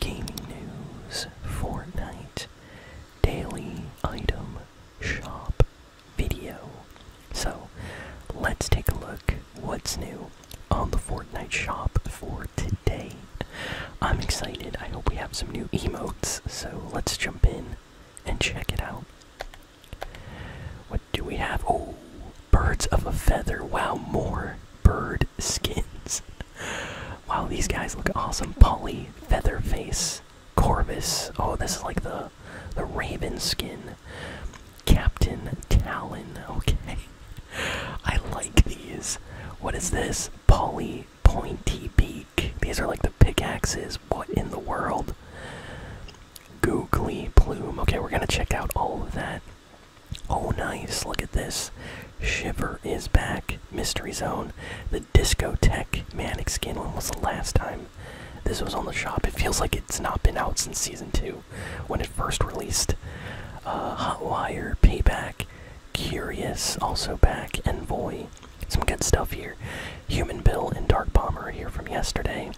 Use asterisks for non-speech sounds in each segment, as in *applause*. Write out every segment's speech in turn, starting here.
gaming news, Fortnite, daily item shop video. So let's take a look what's new on the Fortnite shop for today. I'm excited. I hope we have some new emotes. So let's jump in and check it out. What do we have? Oh, birds of a feather. Wow, more bird skins. Wow, these guys look awesome. Polly, Featherface, Corvus. Oh, this is like the the Raven skin. Captain Talon. Okay. *laughs* I like these. What is this? Polly Pointy Beak. These are like the pickaxes. What in the world? Googly Plume. Okay, we're gonna check out all of that. Oh, nice. Look at this. Shiver is back. Mystery Zone. The Discotech Manic Skin. was the last time this was on the shop? It feels like it's not been out since Season 2 when it first released. Uh, Hot wire, Payback, Curious, also back, Envoy. Some good stuff here. Human Bill and Dark Bomber here from yesterday.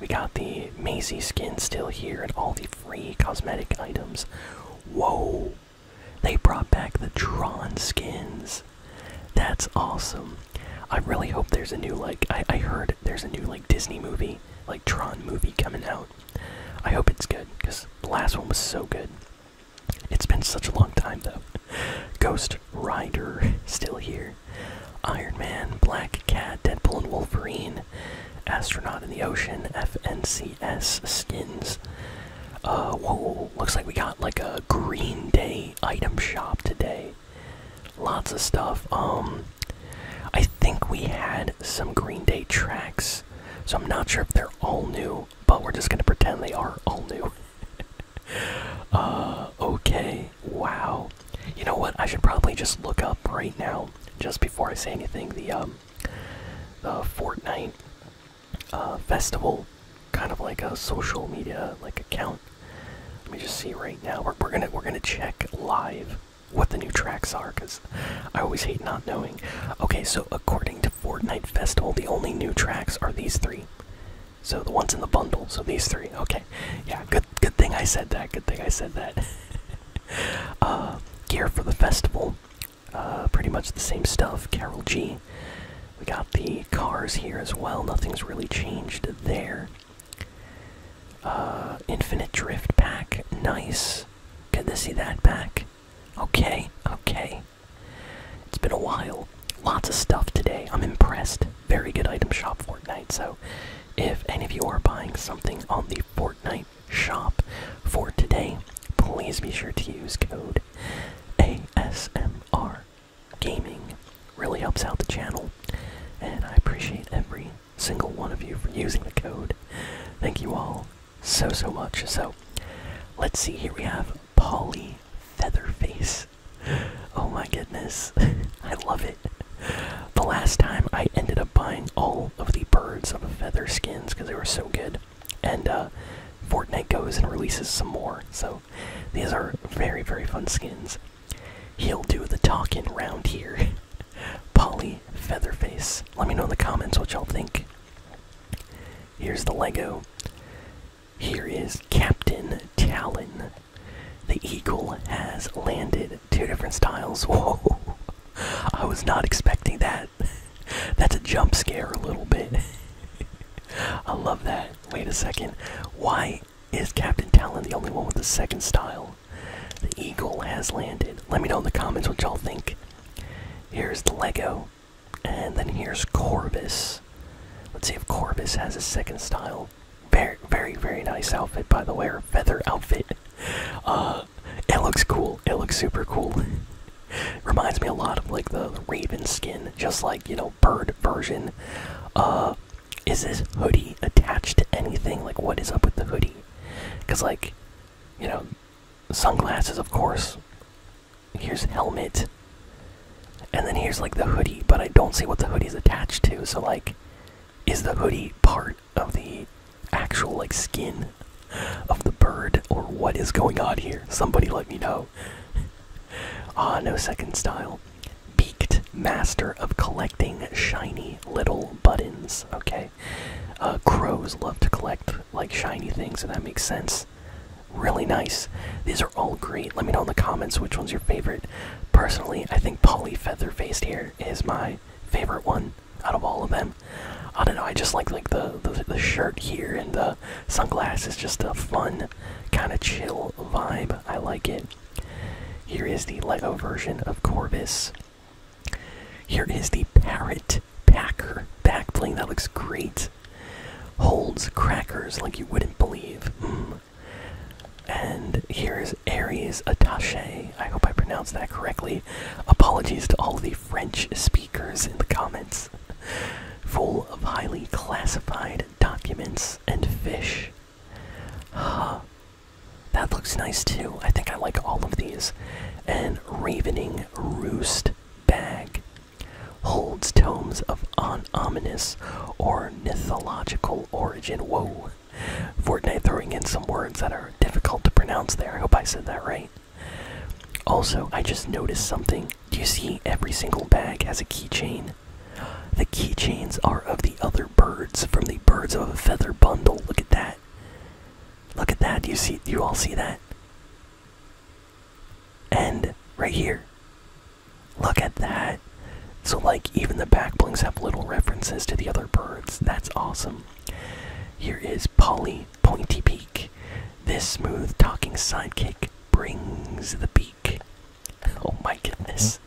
We got the Maisie skin still here and all the free cosmetic items. Whoa! They brought back the Tron skins. That's awesome. I really hope there's a new like I, heard there's a new like Disney movie, like Tron movie coming out. I hope it's good, because the last one was so good. It's been such a long time though. Ghost Rider *laughs* still here. Iron Man, Black Cat, Deadpool and Wolverine. Astronaut in the Ocean, FNCS skins. Uh, whoa, looks like we got like a Green Day item shop today. Lots of stuff. Um, I think we had some Green Day tracks, so I'm not sure if they're all new, but we're just gonna pretend they are all new. *laughs* uh, okay, wow. You know what? I should probably just look up right now, just before I say anything, the um, Fortnite uh, festival, kind of like a social media like account. Let me just see right now. We're, we're gonna we're gonna check live what the new tracks are, cause I always hate not knowing. Okay, so according to Fortnite Festival, the only new tracks are these three. So the ones in the bundle. So these three. Okay, yeah, good. Good, thing I said that. Good thing I said that. *laughs* Uh, gear for the festival. Uh, pretty much the same stuff. Carol G. We got the cars here as well. Nothing's really changed there. Uh, Infinite Drift pack. Nice. Good to see that back. Okay, okay. It's been a while. Lots of stuff today. I'm impressed. Very good item shop Fortnite. So if any of you are buying something on the Fortnite shop for today, please be sure to use code ASMR Gaming. Really helps out the channel, and I appreciate every single one of you for using the code. Thank you all so so much. So let's see. Here we have Polly Featherface. *laughs* Oh my goodness, *laughs* I love it the last time I ended up buying all of the birds of feather skins because they were so good. And uh, Fortnite goes and releases some more. So these are very, very fun skins. He'll do the talking round here. *laughs* Polly Featherface. Let me know in the comments what y'all think. Here's the Lego. Here is Captain Talon. The Eagle has landed. Two different styles. *laughs* Whoa. I was not expecting that. *laughs* That's a jump scare a little bit. *laughs* I love that. Wait a second. Why is Captain Talon the only one with the second style? The Eagle has landed. Let me know in the comments what y'all think. Here's the Lego. And then here's Corvus. Let's see if Corvus has a second style. Very, very, very nice outfit, by the way, or feather outfit. Uh, it looks cool. It looks super cool. *laughs* Reminds me a lot of like the Raven skin, just like you know, bird version. Uh, is this hoodie attached to anything? Like, what is up with the hoodie? Because like, you know, sunglasses, of course. Here's helmet. And then here's like the hoodie, but I don't see what the hoodie is attached to. So like, is the hoodie part of the actual like skin of the bird, or what is going on here? Somebody let me know. *laughs* ah, no second style. Beaked master of collecting shiny little buttons. Okay, uh, crows love to collect like shiny things, so that makes sense. Really nice. These are all great. Let me know in the comments which one's your favorite. Personally, I think Polly Featherfaced here is my favorite one out of all of them. I don't know. I just like like the the, shirt here and the sunglasses. Just a fun, kind of chill vibe. I like it. Here is the Lego version of Corvus. Here is the Parrot Packer backbling. That looks great. Holds crackers like you wouldn't believe. Mm. And here is Aries Attache. I hope I pronounced that correctly. Apologies to all the French speakers in the comments. Full of highly classified documents and fish. Huh. That looks nice too. I think I like all of these. And Ravening Roost Bag holds tomes of on ominous or mythological origin. Whoa. Fortnite throwing in some words that are difficult to pronounce there. I hope I said that right. Also, I just noticed something. Do you see every single bag has a keychain? The keychains are of the other birds from the Birds of a Feather bundle. Look at that. Look at that. Do you see do you all see that? And right here. Look at that. So, like, even the backblings have little references to the other birds. That's awesome. Here is Polly Pointy Peak. This smooth talking sidekick brings the beak. *laughs* Oh my goodness.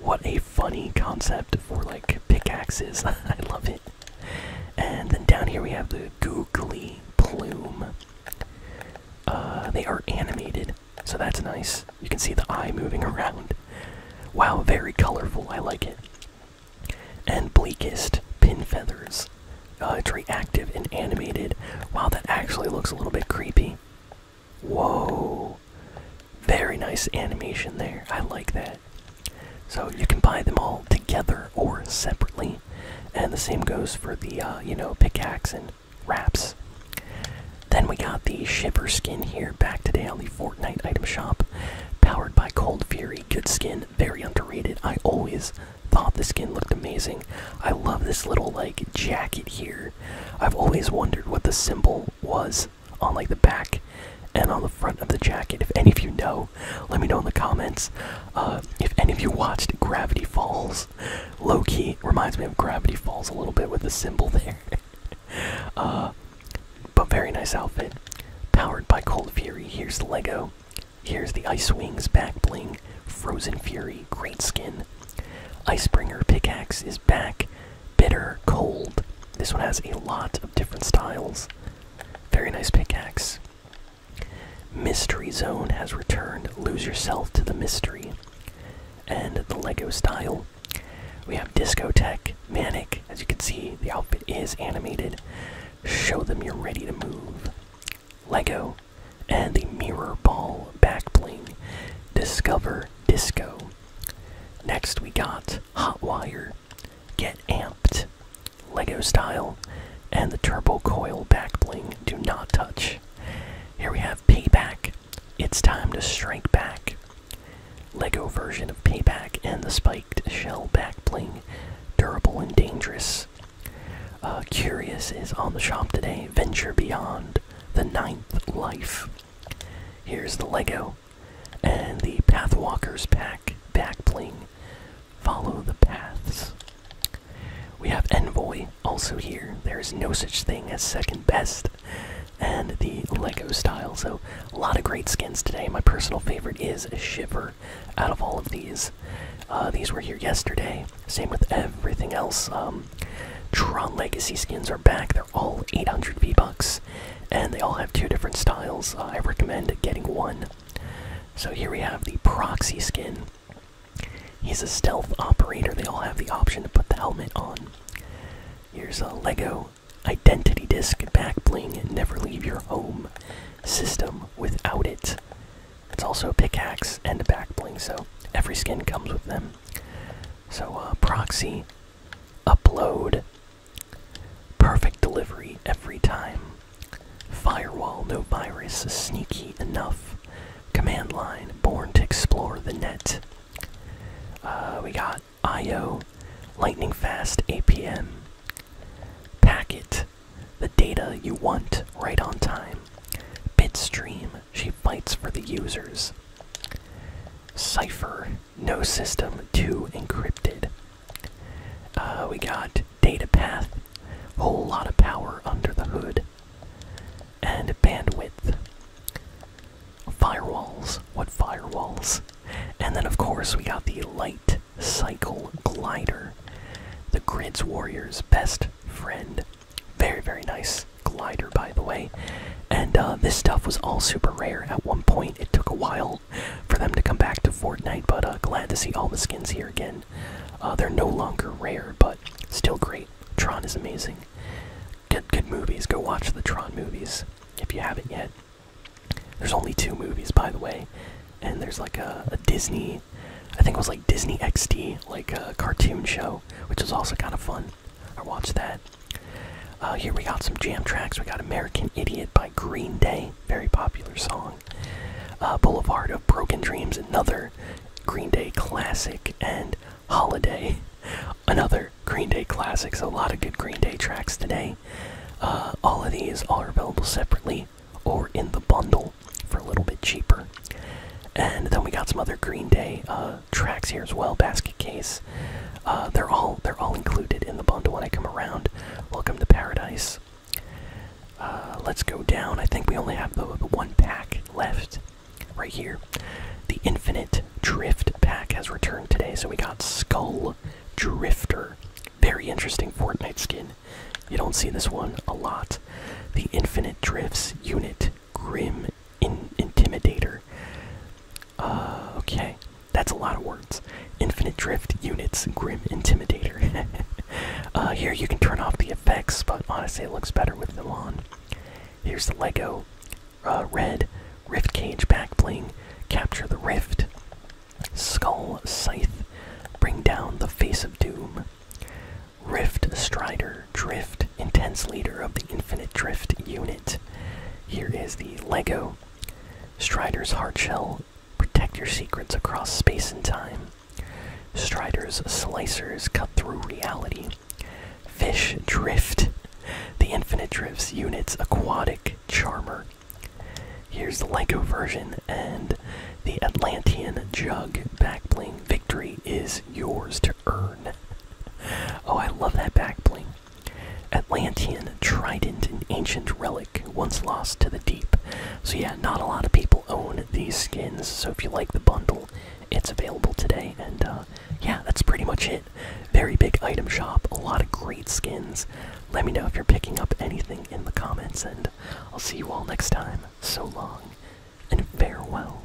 What a funny concept for like pickaxes. *laughs* I love it. And then down here we have the googly plume. Uh, they are animated, so that's nice. You can see the eye moving around. Wow, very colorful. I like it. And bleakest pin feathers. Uh, it's reactive and animated. Wow, that actually looks a little bit creepy. Whoa. Very nice animation there. I like that. So you can buy them all together or separately. And the same goes for the, uh, you know, pickaxe and wraps. Then we got the Shiver skin here back today on the Fortnite item shop. Powered by Cold Fury. Good skin. Very underrated. I always thought the skin looked amazing. I love this little, like, jacket here. I've always wondered what the symbol was on, like, the back and on the front of the jacket. If any of you know, let me know in the comments uh, if any of you watched Gravity Falls. Low key reminds me of Gravity Falls a little bit with the symbol there. *laughs* Uh, but very nice outfit. Powered by Cold Fury. Here's Lego. Here's the Ice Wings back bling. Frozen Fury, great skin. Icebringer pickaxe is back. Bitter, cold. This one has a lot of different styles. Very nice pickaxe. Mystery Zone has returned. Lose yourself to the mystery. And the Lego style. We have Discotech, Manic. As you can see, the outfit is animated. Show them you're ready to move. Lego. And the Mirror Ball back bling. Discover Disco. Next, we got Hotwire. Get amped. Lego style, and the turbo coil back bling do not touch. Here we have Payback. It's time to strike back. Lego version of Payback and the spiked shell back bling, durable and dangerous. Uh, Curious is on the shop today. Venture Beyond, the Ninth Life. Here's the Lego and the Pathwalkers pack back bling, Follow the paths. We have Envoy also here. There is no such thing as second best. And the Lego style. So, a lot of great skins today. My personal favorite is Shiver out of all of these. Uh, these were here yesterday. Same with everything else. Um, Tron Legacy skins are back. They're all 800 V-Bucks. And they all have two different styles. Uh, I recommend getting one so here we have the Proxy skin. He's a stealth operator. They all have the option to put the helmet on. Here's a Lego Identity Disc back bling. Never leave your home system without it. It's also a pickaxe and a back bling, so every skin comes with them. So, uh, Proxy, Upload, Perfect delivery every time. Firewall no virus sneaky enough. Command line born to explore the net. Uh, we got IO, lightning fast APM. Packet, the data you want right on time. Bitstream, she fights for the users. Cipher, no system too encrypted. Uh, we got data path, whole lot of power under the hood, and bandwidth. Firewalls, what firewalls? And then, of course, we got the light cycle glider, the grid's warrior's best friend. Very, very nice glider, by the way. And uh, this stuff was all super rare at one point. It took a while for them to come back to Fortnite, but uh, glad to see all the skins here again. Uh, they're no longer rare, but still great. Tron is amazing. Good, good movies. Go watch the Tron movies if you haven't yet. There's only two movies, by the way, and there's like a Disney, I think it was like Disney XD, like a cartoon show, which was also kind of fun. I watched that. Uh, here we got some jam tracks. We got American Idiot by Green Day, very popular song. Uh, Boulevard of Broken Dreams, another Green Day classic. And Holiday, *laughs* another Green Day classic. So a lot of good Green Day tracks today. Uh, all of these are available separately or in the bundle for a little bit cheaper. And then we got some other Green Day tracks here as well Basket Case, uh, they're all they're all included in the bundle when I come around. Welcome to paradise. Uh, let's go down. I think we only have the, one pack left right here. The Infinite Drift pack has returned today, so we got Skull Drifter. Very interesting Fortnite skin. You don't see this one a lot. The Infinite Drifts unit, Grim Intimidator. Uh, okay, that's a lot of words. Infinite Drift units, Grim Intimidator. *laughs* Uh, here you can turn off the effects, but honestly, it looks better with them on. Here's the Lego uh, Red Rift Cage Pack Bling. Capture the Rift. Skull Scythe. Bring down the Face of Doom. Rift Strider. Drift. Intense leader of the Infinite Drift unit. Here is the Lego Strider's Heart Shell. Protect your secrets across space and time. Strider's Slicers cut through reality. Fish Drift. The Infinite Drifts Units Aquatic Charmer. Here's the Lego version and the Atlantean Jug back bling. Victory is yours to earn. Oh, I love that back bling. Atlantean trident, an ancient relic once lost to the deep. So, yeah, not a lot of people own these skins. So, if you like the bundle, it's available today. And, uh, yeah, that's pretty much it. Very big item shop, a lot of great skins. Let me know if you're picking up anything in the comments, and I'll see you all next time. So long, and farewell.